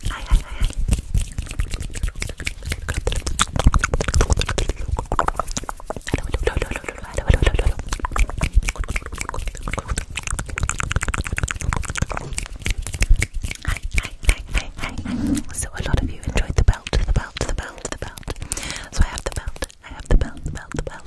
So a lot of you enjoyed the belt, the belt, the belt, the belt. So I have the belt, I have the belt, the belt, the belt.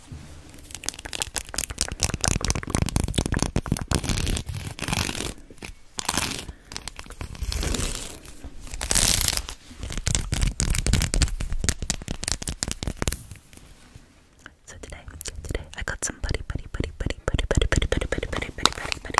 So today, today I got some buddy buddy buddy buddy buddy buddy buddy buddy buddy buddy buddy buddy buddy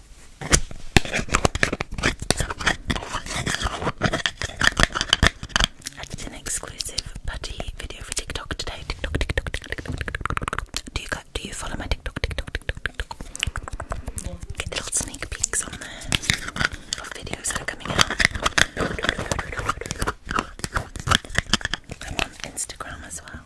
I did an exclusive putty video for TikTok today. TikTok, TikTok, TikTok, TikTok. Do you go, do you follow my TikTok, TikTok, TikTok, TikTok? Get little sneak peeks on there of videos that are coming out. I'm on Instagram as well.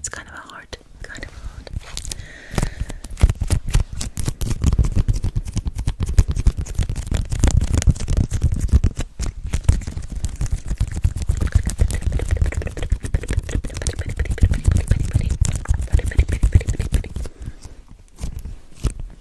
It's kind of a hard, kind of hard.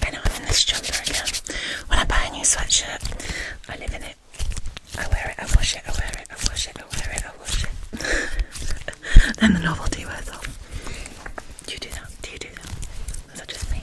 Been having this jumper again. When I buy a new sweatshirt, I live in it. I wear it, I wash it, I wear it, I wash it, I wear it, I wash it. then the novelty wears off. you do that? Do you do that? Is just me?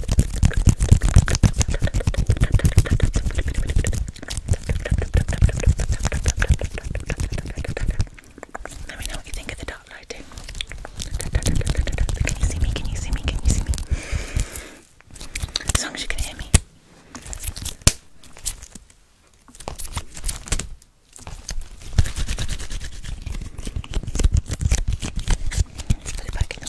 Let me know what you think of the dark lighting. Can you see me? Can you see me? Can you see me? As long as you can hear me. Let's put it back in the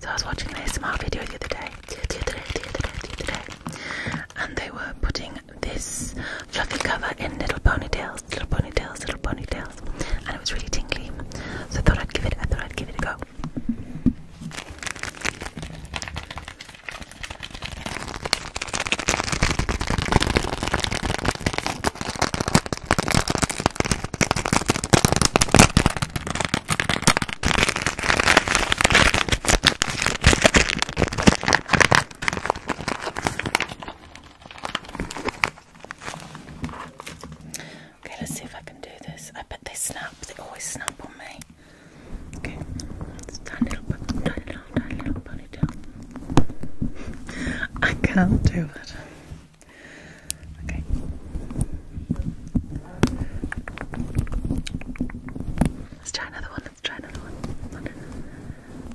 So I was watching an ASMR video the other day, the other day, the other day, the other day, and they were putting this fluffy cover in little ponytails, little ponytails, little ponytails, and it was really tingly. So I thought I'd give it, I thought I'd give it a go. Okay, let's see if I can do this. I bet they snap, they always snap on me. Okay, it's little ponytail. I can't do it. Okay. Let's try another one, let's try another one.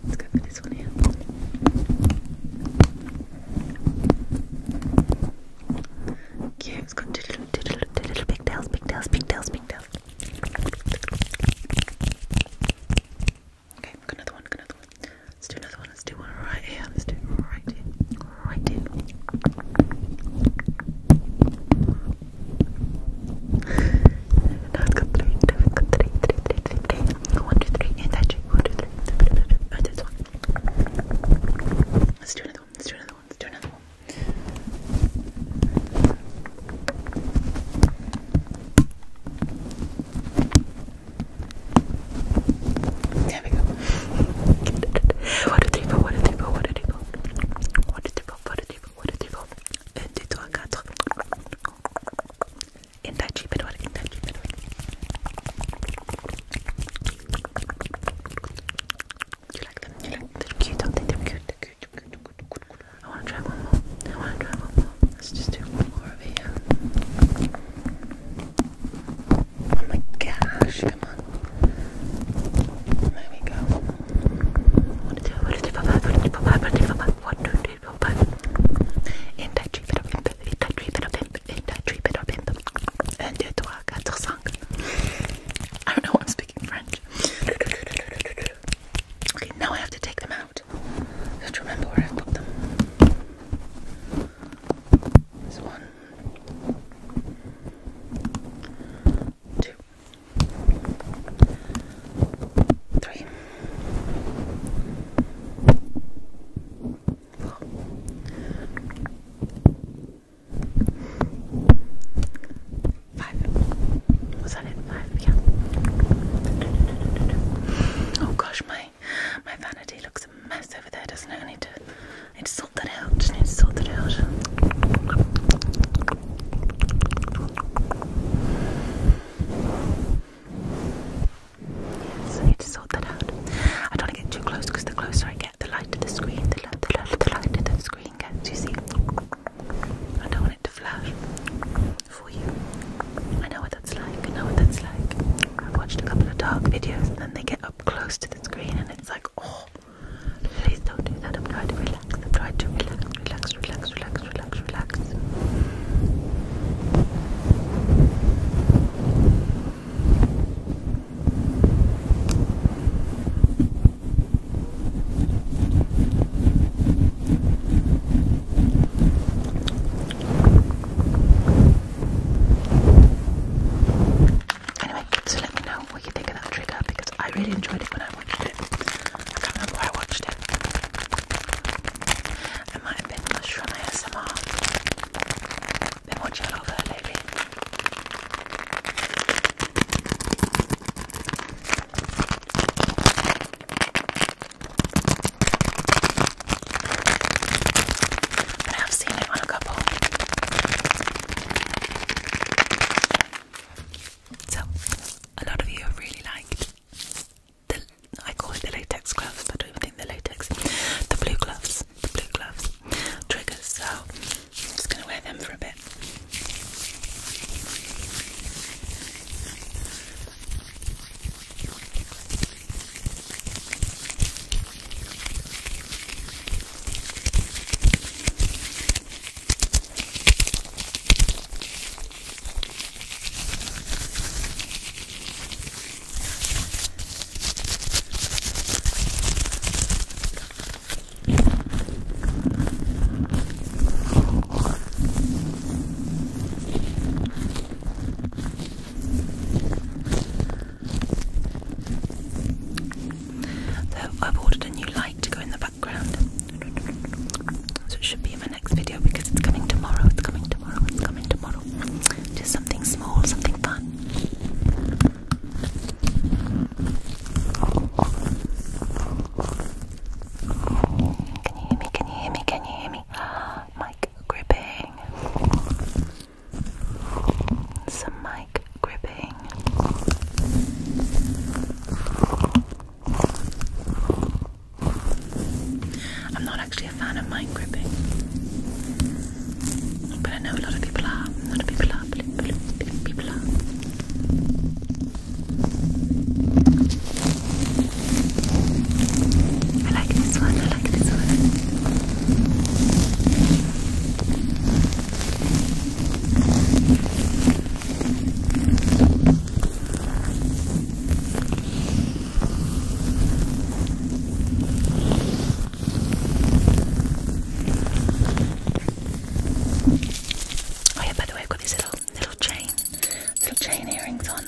Let's go for this one here. Cute, it's got two little, two little, two little big tails, big tails, Okay, another one, another one. Let's do another one, let's do one right here, let's do right here, right here. now I've got three, now I've three. One, two, three, and that two, one, two, three, three, three, three. Oh, that's one. Let's do another one, let's do another one. Let's do another one. There we go. What did they What did they What did they What did they What did they What did they go? 1, 2, 3, 4. Intacci per you like them? You like them? They're cute, aren't they? They're cute. They're cute. They're cute. I want to try one more. I want to try one more. Let's just do one more of it. Oh my gosh! Come on. There we go. One, two, one, two, five, five, one, two, five, one, two, five, one, two, three, four, five. In that tree, bit of him, in that tree, bit of him, in that tree, bit of him. And do it to our I don't know what I'm speaking speaking French. Okay, now I have to take them out. Just remember where I've put them. This one, two, three, four. Five. Was that it? Five. Yeah. Oh gosh, my my vanity looks a mess over there, doesn't it? I need to I need to sort that out. Just need to sort that out. Yes, I need to sort that out. I don't want to get too close because the closer I the light of the screen, the light, of the light to the screen gets, you see. I don't want it to flash for you. I know what that's like, I know what that's like. I've watched a couple of dark videos and then they get up close to the screen and it's like, oh, please don't do that. I'm trying to relax, I'm trying to relax, relax, relax, relax, relax, relax. Anyway, so let me know what you think of that trigger because I really enjoyed it when I watched it. I can't remember where I watched it. It might have been Mushroom ASMR. Been watching a lot but I've seen it on a couple. So, a lot of you have really liked the, I call it the latex gloves, but I don't even think they latex. The blue gloves, the blue gloves, triggers. So, I'm just going to wear them for a bit. I've ordered a new light to go in the background. So it should be in my next video because it's coming tomorrow, it's coming tomorrow, it's coming tomorrow. Just something small, something fun you hear me? Can you hear me? Can you hear me? Mic gripping. Some mic gripping. I'm not actually a fan of mic gripping, but I know a lot of people are. A lot of people are blip, blip, blip, blip, blip. I like this one, I like this one. Oh yeah, by the way, I've got these little little chain, little chain earrings on.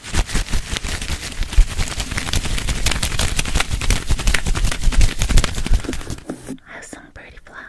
I Have some pretty flowers.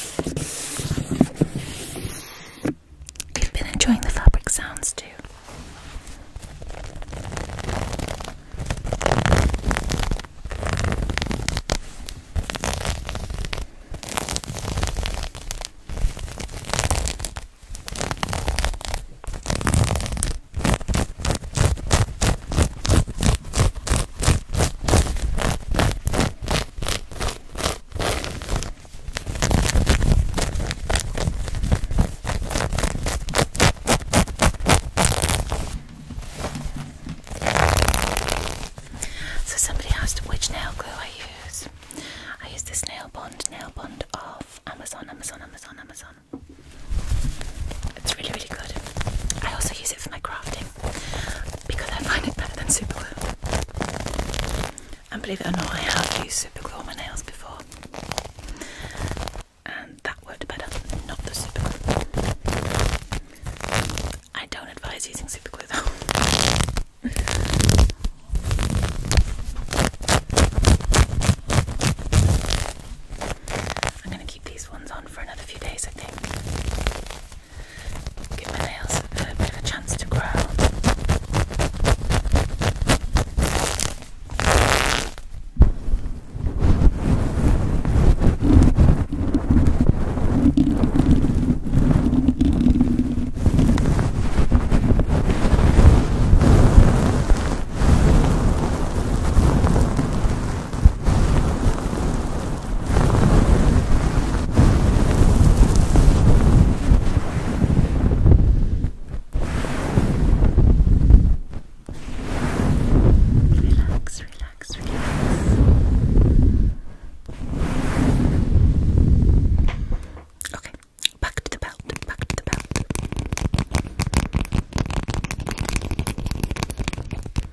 You've been enjoying the fabric sounds too. So somebody asked which nail glue I use. I use this nail bond, nail bond off Amazon, Amazon, Amazon, Amazon. It's really, really good. I also use for my crafting because I find it better than super And believe it or not, I have used super on my nails before, and that worked better, not the super I don't advise using super glue though. I'm going to keep these ones on for another few days, I think give my nails a bit of a chance to grow. Relax, relax, relax. Okay, back to the belt, back to the belt.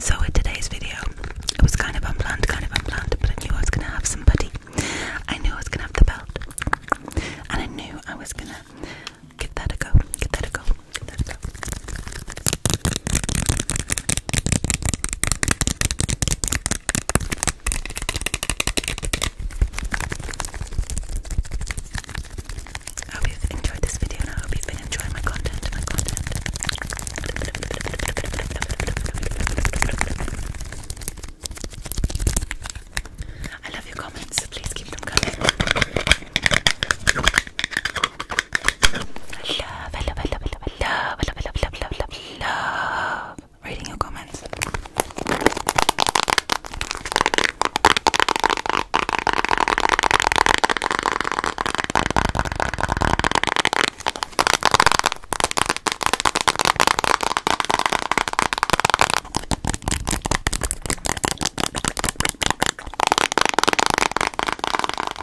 So, in today's video, it was kind of unplanned, kind of unplanned, but I knew I was going to have somebody. I knew I was going to have the belt. And I knew I was going to give that a go, give that a go, give that a go. I hope you've enjoyed this video and I hope you've been enjoying my content, I love your comments, so please keep them coming. I love, I love, I love, I love, I love, I love, I love, I love, I love, love reading your comments.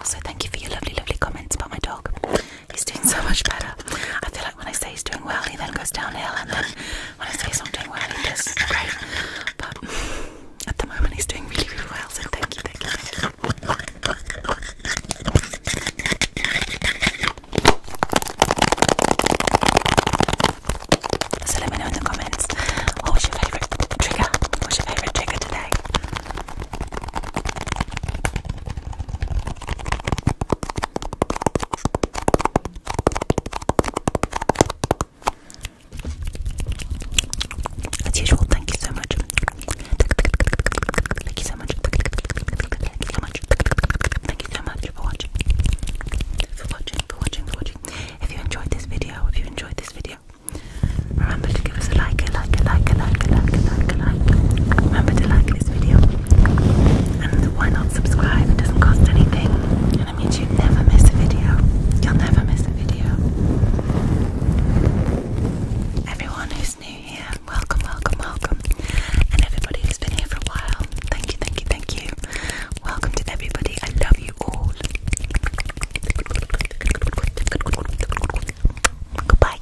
So, thank you for your lovely, lovely comments about my dog. He's doing so much better. I feel like when I say he's doing well, he then goes downhill, and then when I say he's not doing well, he does great. But at the moment, he's doing really, really well. So thank you, thank you. So let me know in the comments what was your favorite trigger? What's your favorite trigger today? thank you so much. Thank you so much for watching. For watching, for watching, for watching. If you enjoyed this video, if you enjoyed this video, remember to give us a like, a like, a like, a like, a like, a like, a like. Remember to like this video. And why not subscribe? It doesn't cost anything. And it means you never miss a video. You'll never miss a video. Everyone who's new here, welcome, welcome, welcome. And everybody who's been here for a while, thank you, thank you, thank you. Welcome to everybody. I love you all. Goodbye.